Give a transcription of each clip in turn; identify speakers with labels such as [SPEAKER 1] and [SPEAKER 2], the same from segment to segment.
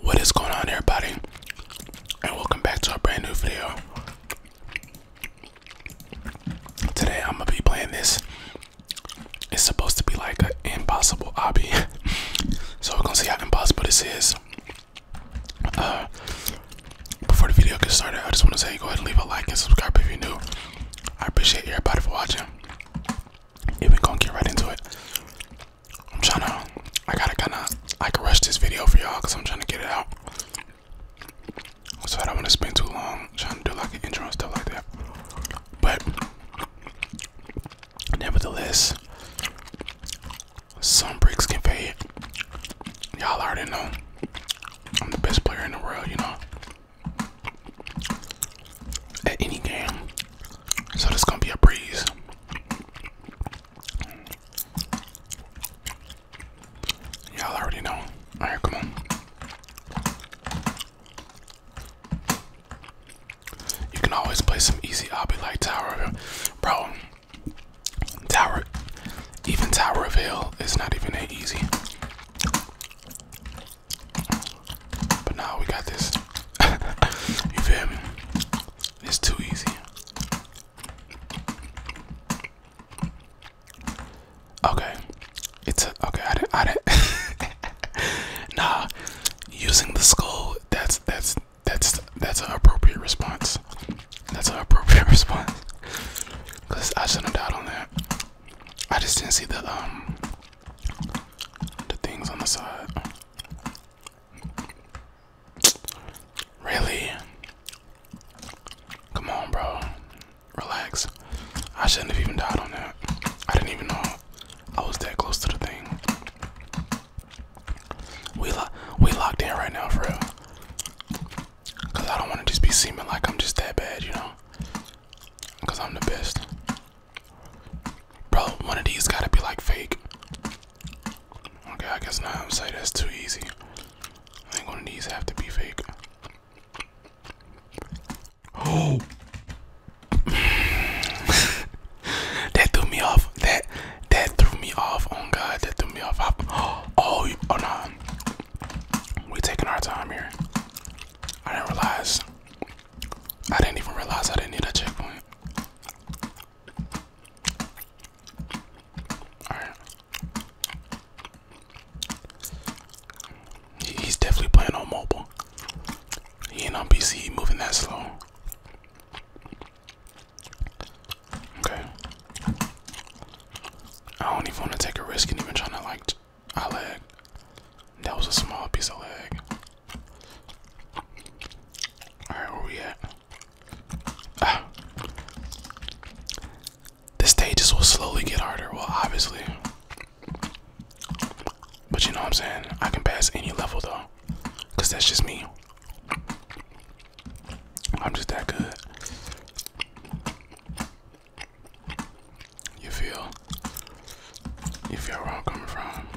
[SPEAKER 1] What is going on, everybody? And welcome back to a brand new video. Today, I'm gonna be playing this. It's supposed to be like an impossible hobby, so we're gonna see how impossible this is. Uh, before the video gets started, I just want to say go ahead and leave a like and subscribe if you're new. I appreciate everybody for watching. And we're going get right into it. I'm trying to, I gotta kind of, I can rush this video for y'all because I'm trying to get it out. So I don't want to spend too long trying to do like an intro and stuff like that. But nevertheless, some bricks can fade. Y'all already know I'm the best player in the world, you know at any game. So this gonna be a breeze. Y'all already know. Alright, come on. You can always play some easy obby like Tower Bro, Tower even Tower of Hell is not even that easy. But now we got this. you feel me? It's too easy. Okay, it's a, okay. I didn't. I didn't. nah, using the skull. That's that's that's that's an appropriate response. That's an appropriate response. Cause I shouldn't have on that. I just didn't see the um the things on the side. Really? Come on, bro. Relax. I shouldn't have even died on that. I didn't even know I was that close to the thing. We we locked in right now, for real. Cause I don't want to just be seeming like I'm just that bad, you know. Cause I'm the best. Bro, one of these gotta be like fake. Okay, I guess not. I'm saying that's too easy. I think one of these have to be fake. Oh, that threw me off. That that threw me off. Oh God, that threw me off. I, oh, oh no, we taking our time here. I didn't realize I didn't even realize I didn't need a checkpoint. Alright. he's definitely playing on mobile. He ain't on PC, he moving that slow. Okay. I don't even want to take a risk and even trying to like I lag. That was a small piece of lag. Alright, where we at? Ah. The stages will slowly get harder, well, obviously. But you know what I'm saying? I can pass any level though. Because that's just me. I'm just that good. You feel you feel where I'm coming from.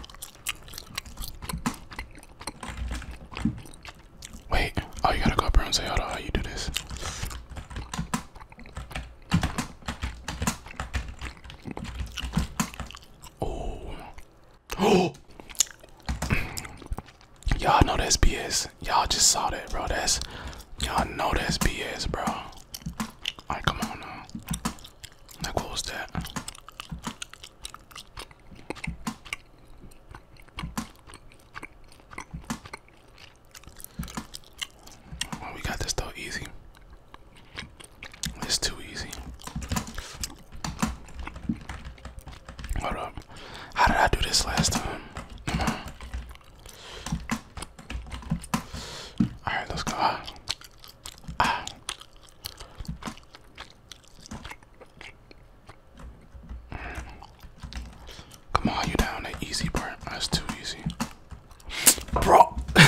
[SPEAKER 1] Wait, oh you gotta go up here and say, hold on, how you do this. Oh. Oh! Y'all know that's BS. Y'all just saw that, bro. That's y'all know that's BS, bro. Like, come on now. Like, what that? we got this though easy. It's too easy. Hold up. How did I do this last time? Mm-hmm. All right, let's go. Ah. Ah. Come on, you down that easy part. That's too easy, bro.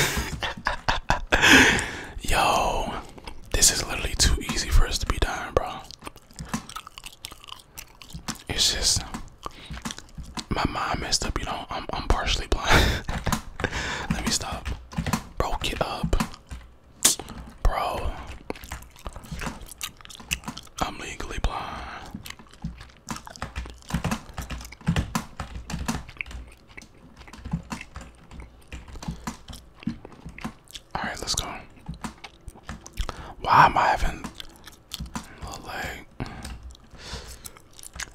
[SPEAKER 1] Yo, this is literally too easy for us to be dying, bro. It's just my mind messed up. You know, I'm I'm partially blind. Let me stop. Bro, get up, bro. I'm legally blind. All right, let's go. Why am I having a little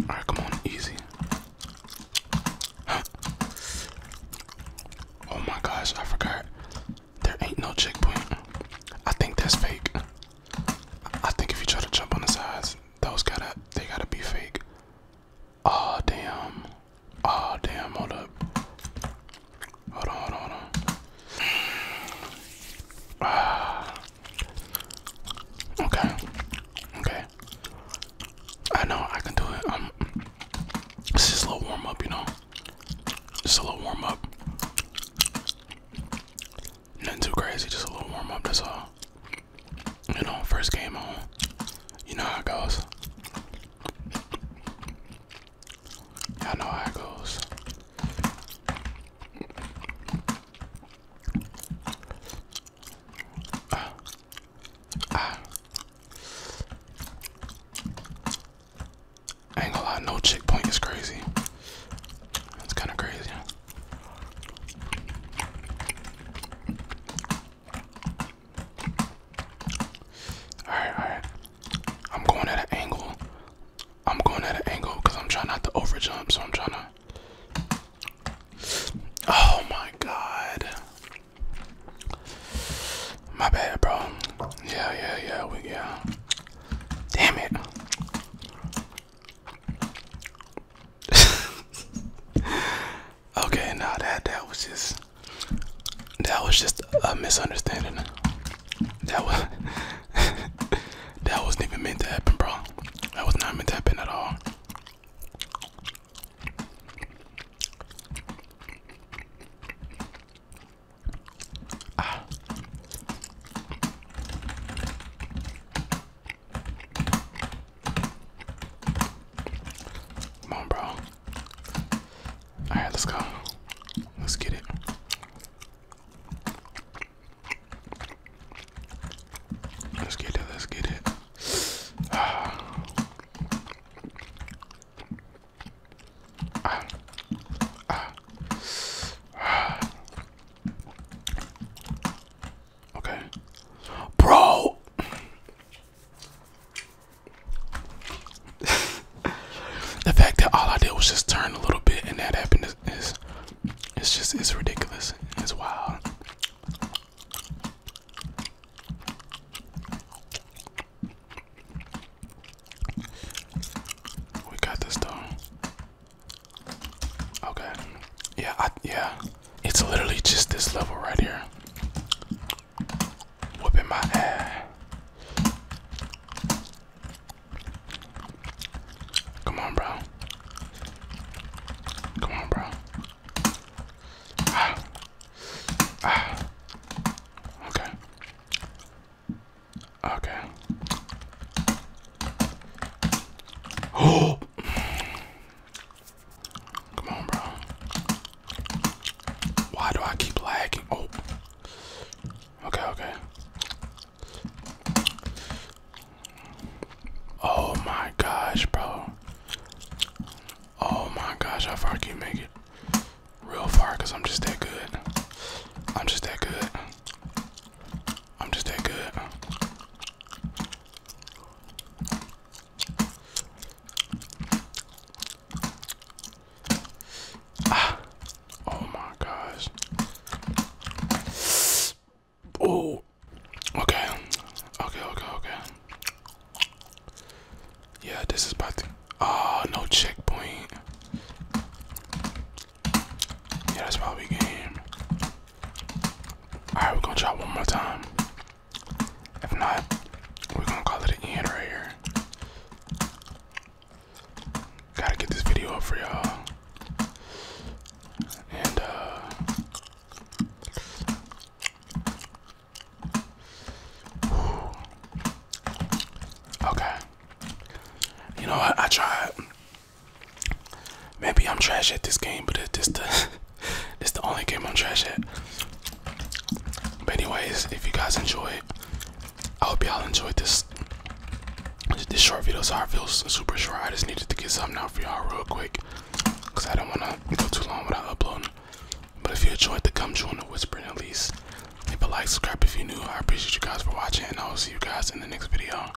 [SPEAKER 1] All right, come on, easy. Oh my gosh, I forgot. There ain't no checkpoint. I think that's fake. I think if you try to jump on the sides, those gotta they gotta be fake. Oh damn. Oh damn, hold up. Hold on, hold on, hold on. Uh, okay, okay. I know I can do it. Um, it's just a little warm up, you know. Just a little warm up. Nothing too crazy, just a little warm up. That's all. You know, first game on. You know how it goes. Y'all know how it goes. Ah. Ah. ain't gonna no chick is crazy. That's kind of crazy. Alright, alright. I'm going at an angle. I'm going at an angle because I'm trying not to overjump, so I'm trying to. Oh my god. My bad, bro. Yeah, yeah, yeah, we yeah. Damn it. Okay, now nah, that that was just that was just a misunderstanding. That was that wasn't even meant to happen, bro. That was not meant to happen at all. Come on, bro. All right, let's go. Let's get it. Let's get it. Let's get it. Okay. Bro the fact that all I did was just turn a little bit and that happened is, it's just it's ridiculous. It's wild. We got this though. Okay. Yeah, yeah. It's literally just this level right here. Whooping my ass. Come on, bro. Come on, bro. Ah. Ah. Okay. Okay. Oh. Come on, bro. Why do I keep lagging? Oh. Okay, okay. Oh my gosh, bro. Oh my gosh, how far can you make it? Real far, because I'm just that good. I'm just that good. I'm just that good. Ah. Oh my gosh. Oh, okay, okay, okay, okay. Yeah, this is about to. Oh, no checkpoint. Yeah, that's probably game. Alright, we're gonna try one more time. If not, we're gonna call it a end right here. Gotta get this video up for y'all. And, uh, okay. You know what? I tried. Maybe I'm trash at this game, but it's the only game I'm trash at. But anyways, if you guys enjoyed, I hope y'all enjoyed this this short video. So I feel super short. I just needed to get something out for y'all real quick, cause I don't wanna go too long without uploading. But if you enjoyed the come join the whispering at least, leave a like, subscribe if you're new. I appreciate you guys for watching, and I will see you guys in the next video.